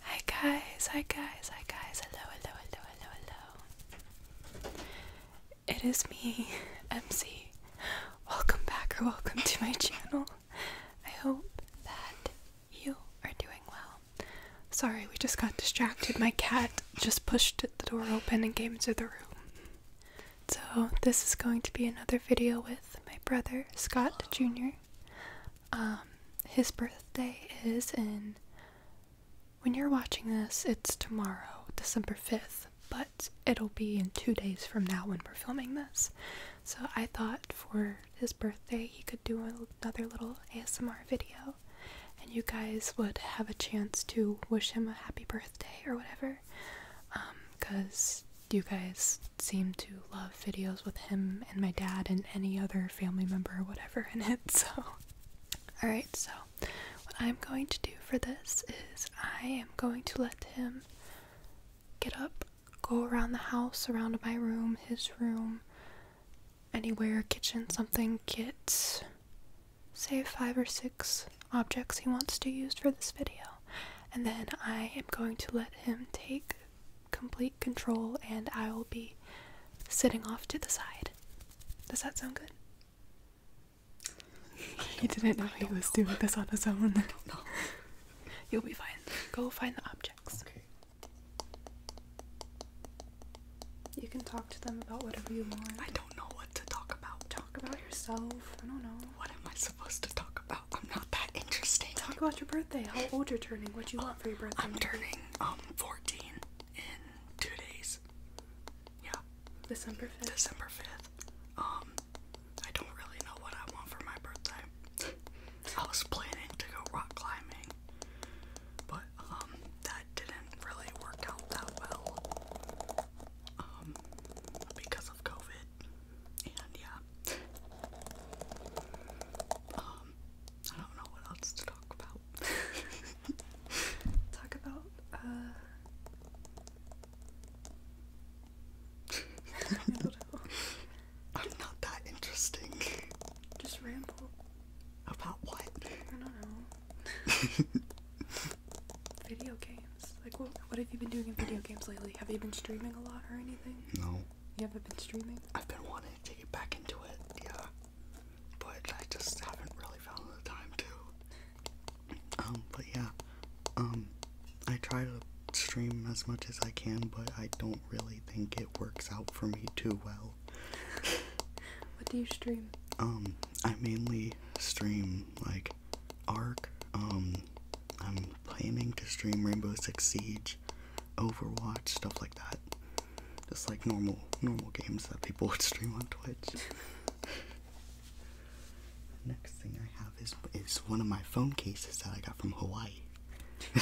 Hi guys, hi guys, hi guys, hello, hello, hello, hello, hello. It is me, MC. Welcome back or welcome to my channel. I hope that you are doing well. Sorry, we just got distracted. My cat just pushed the door open and came into the room. So, this is going to be another video with my brother, Scott Jr. Um, his birthday is in. When you're watching this, it's tomorrow, December 5th, but it'll be in two days from now when we're filming this. So I thought for his birthday, he could do another little ASMR video, and you guys would have a chance to wish him a happy birthday or whatever. Because um, you guys seem to love videos with him and my dad and any other family member or whatever in it. So, alright, so what I'm going to do for this is I am going to let him get up, go around the house, around my room, his room, anywhere, kitchen, something, get say five or six objects he wants to use for this video. And then I am going to let him take complete control and I will be sitting off to the side. Does that sound good? He didn't know he was doing this on his own. You'll be fine. Go find the objects. You can talk to them about whatever you want. I don't know what to talk about. Talk about yourself. I don't know. What am I supposed to talk about? I'm not that interesting. Talk about your birthday. How old you're turning? What you want for your birthday? I'm turning um 14 in two days. Yeah. December 5th. December 5th. Um, I don't really know what I want for my birthday. I was planning to go rock climbing, but um, that didn't really work out that well. Um, because of COVID. And yeah. Um, I don't know what else to talk about. talk about uh, I am not that interesting. Just ramble. About what? I don't know. video games. Like, what, what have you been doing in video games lately? Have you been streaming a lot or anything? No. You haven't been streaming? I've been wanting to get back into it, yeah. But I just haven't really found the time to. Um, but yeah. Um, I try to stream as much as I can, but I don't really think it works out for me too well. what do you stream? Um, I mainly stream like Ark. Um, I'm planning to stream Rainbow Six Siege. Overwatch, stuff like that. Just like normal, normal games that people would stream on Twitch. Next thing I have is is one of my phone cases that I got from Hawaii.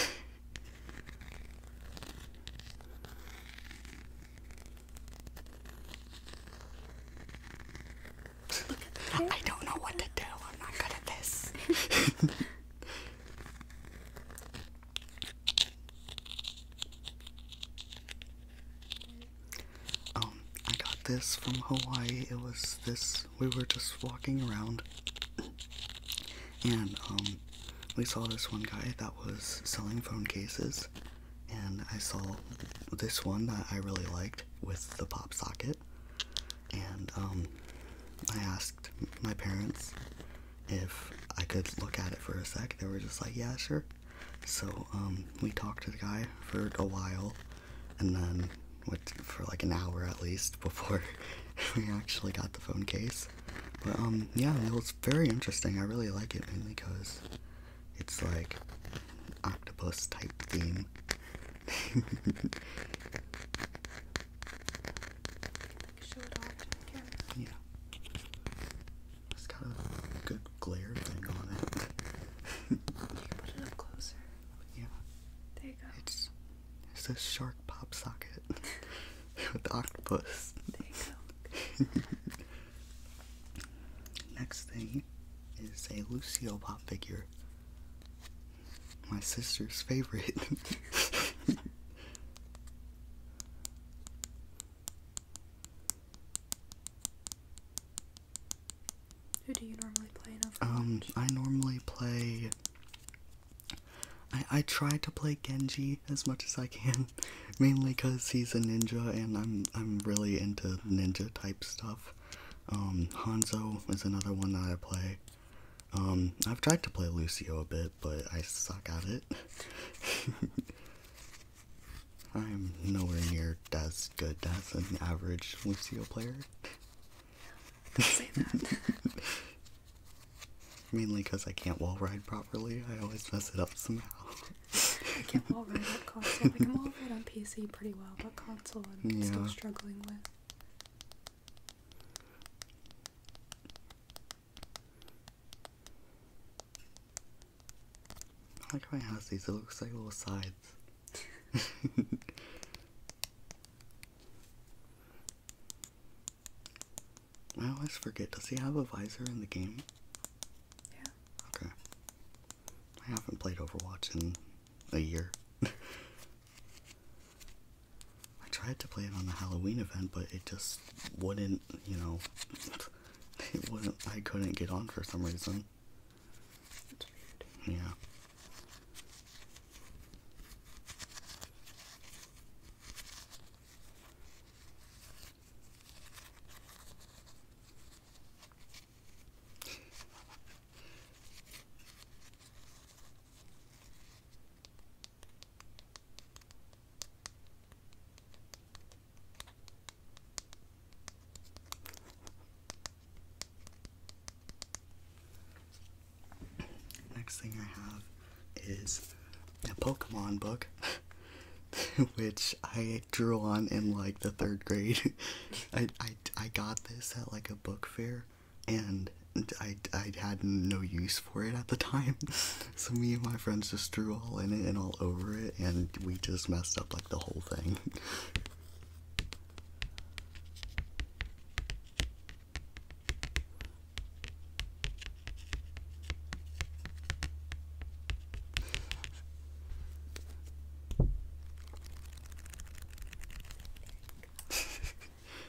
I don't know what to do. I'm not good at this. Um, I got this from Hawaii. It was this, we were just walking around and um, we saw this one guy that was selling phone cases and I saw this one that I really liked with the pop socket and um, I asked my parents if I could look at it for a sec. They were just like, yeah, sure. So um, we talked to the guy for a while, and then what for like an hour at least before we actually got the phone case. But um, yeah, it was very interesting. I really like it mainly because it's like octopus type theme. Yeah. It's got a good glare thing on it. you put it up closer. Yeah. There you go. It's it's a shark pop socket with the octopus. There you go. Next thing is a Lucio pop figure my sister's favorite. Who do you normally play in Overwatch? Um, I normally play. I, I try to play Genji as much as I can, mainly because he's a ninja and I'm I'm really into ninja type stuff. Um, Hanzo is another one that I play. Um, I've tried to play Lucio a bit, but I suck at it. I'm nowhere near as good as an average Lucio player. say that. Mainly because I can't wall ride properly. I always mess it up somehow. I can wall ride on console. I can wall ride on PC pretty well, but console I'm still struggling with. I like how it has these, it looks like little sides. I always forget, does he have a visor in the game? Yeah. Okay. I haven't played Overwatch in a year. I tried to play it on the Halloween event, but it just wouldn't, you know, it wouldn't, I couldn't get on for some reason. Yeah. Next thing I have is a Pokemon book, which I drew on in like the third grade. I, I, I got this at like a book fair and I, I had no use for it at the time, so me and my friends just drew all in it and all over it, and we just messed up like the whole thing.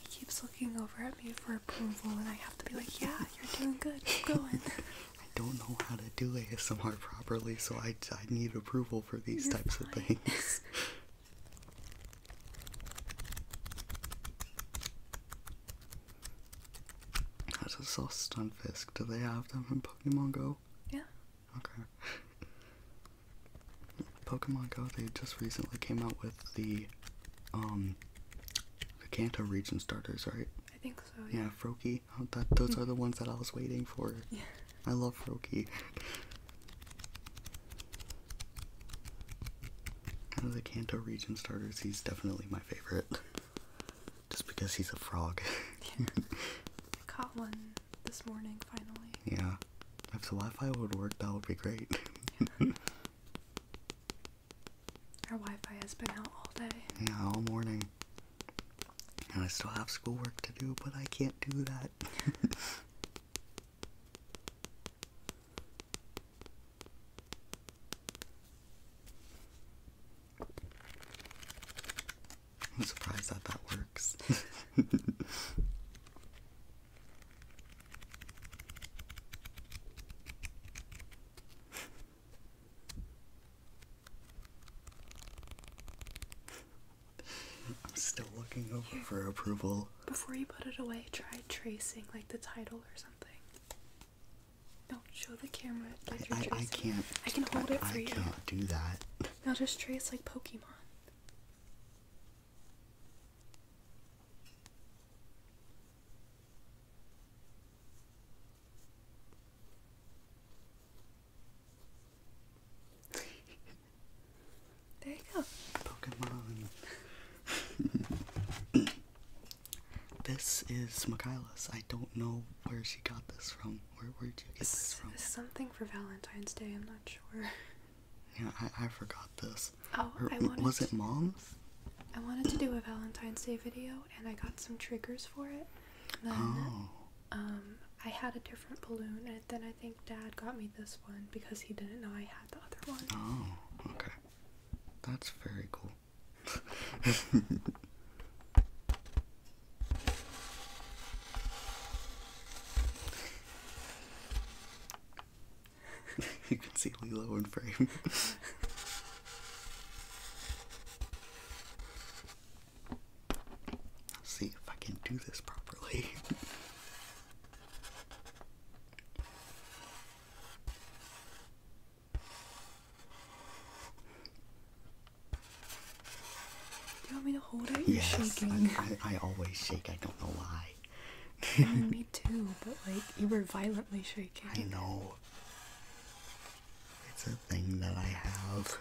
He keeps looking over at me for approval, and I have to be like, yeah, you're doing good, keep going. I don't know how to do ASMR properly, so I, I need approval for these types of things. I just saw Stunfisk. Do they have them in Pokemon Go? Yeah. Okay. Pokemon Go, they just recently came out with the um the Kanto region starters, right? I think so. Yeah, yeah Froakie. Oh, those hmm. are the ones that I was waiting for. Yeah. I love Froakie. Out of the Kanto region starters, he's definitely my favorite. Just because he's a frog. caught one this morning, finally. Yeah. If the Wi Fi would work, that would be great. Our Wi-Fi has been out all day. Yeah, all morning. And I still have schoolwork to do, but I can't do that. I'm surprised that that works. I'm still looking over for approval. Before you put it away, try tracing like the title or something. Don't show the camera. I, can't. I can hold it for you. I can't do that. Now just trace like Pokemon there you go. Pokemon. this is Michaela's. I don't know where she got this from. Where where did you get this, this from? Something for Valentine's Day. I'm not sure. Yeah, I, I forgot this. Oh, I wanted was it mom's? I wanted to do a Valentine's Day video, and I got some triggers for it. oh. um, I had a different balloon, and then I think Dad got me this one because he didn't know I had the other one. Oh, okay. That's very cool. you can see Lilo in frame. see if I can do this properly. Do you want me to hold it? You're shaking. I, I, I always shake. I don't know why oh, me too, but like you were violently shaking. I know. It's a thing that I have.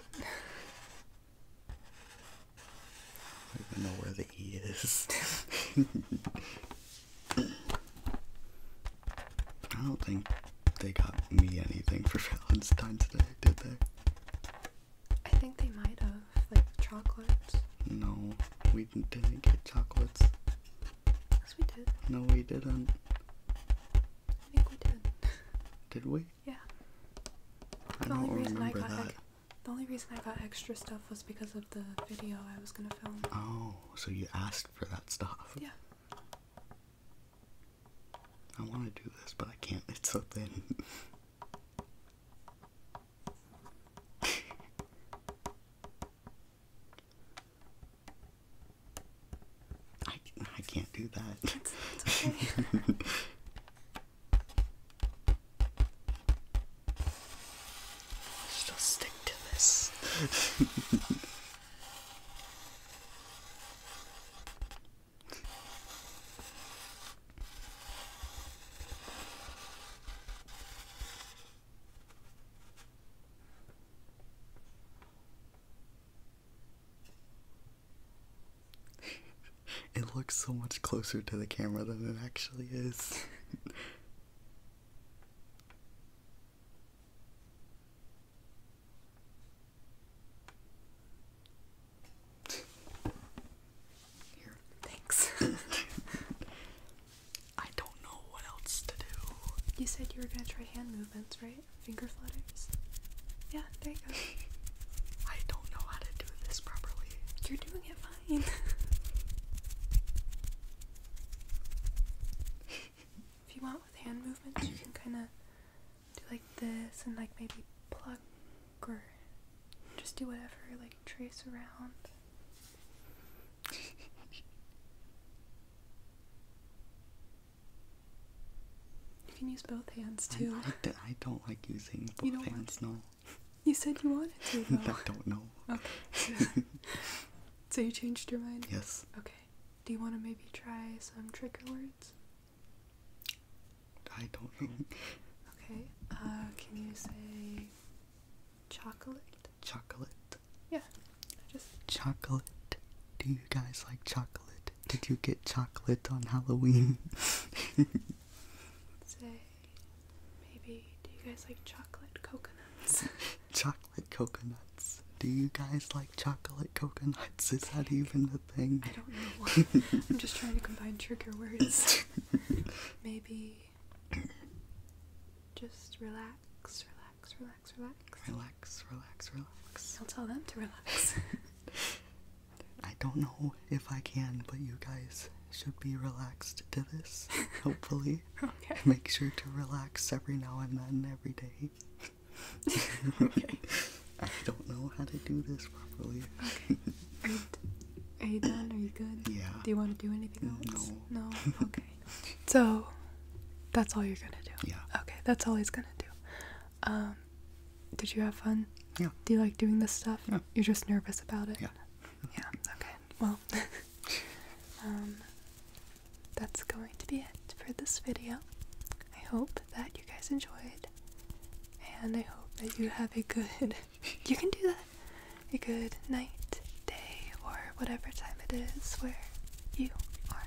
I don't know where the E is. I don't think they got me anything for Valentine's Day, today, did they? I think they might have, like chocolates. No, we didn't get chocolates. Yes, we did. No, we didn't. I think we did. Did we? Yeah. I don't only remember that. The only reason I got extra stuff was because of the video I was gonna film. Oh, so you asked for that stuff? Yeah. I want to do this, but I can't. It's so thin. I, I can't do that. It's, stick to this. it looks so much closer to the camera than it actually is. Here. Thanks. I don't know what else to do. You said you were gonna try hand movements, right? Finger flutters? Yeah, there you go. I don't know how to do this properly. You're doing it fine. if you want with hand movements, you can kinda do like this and like maybe plug, or just do whatever, like trace around you can use both hands too. I, don't like using both hands, no. You said you wanted to. I don't know. Okay. so you changed your mind? Yes. Okay. Do you want to maybe try some trigger words? I don't know. Okay. Uh, can you say Chocolate. Chocolate. Yeah. just chocolate. Do you guys like chocolate? Did you get chocolate on Halloween? Say maybe do you guys like chocolate coconuts? chocolate coconuts. Do you guys like chocolate coconuts? Is that even a thing? I don't know. I'm just trying to combine trigger words. maybe just relax, relax, relax relax, relax. Relax, relax, relax. I'll tell them to relax. I don't know if I can, but you guys should be relaxed to this, hopefully. okay. Make sure to relax every now and then, every day. okay. I don't know how to do this properly. Okay. Are you, are you done? Are you good? Yeah. Do you want to do anything else? No. No? Okay. So that's all you're gonna do. Yeah. Okay, that's all he's gonna do. Um, did you have fun? Yeah. Do you like doing this stuff? Yeah. You're just nervous about it. Yeah. yeah. Okay. Well, um, that's going to be it for this video. I hope that you guys enjoyed, and I hope that you have a good. you can do that. A good night, day, or whatever time it is where you are.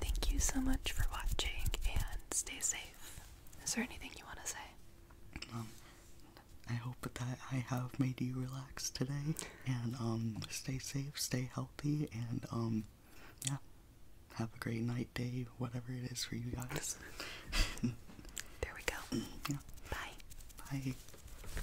Thank you so much for watching and stay safe. Is there anything you want to say? Um, I hope that I have made you relax today and um, stay safe, stay healthy, and um, yeah, have a great night, day, whatever it is for you guys. there we go. Yeah. Bye. Bye.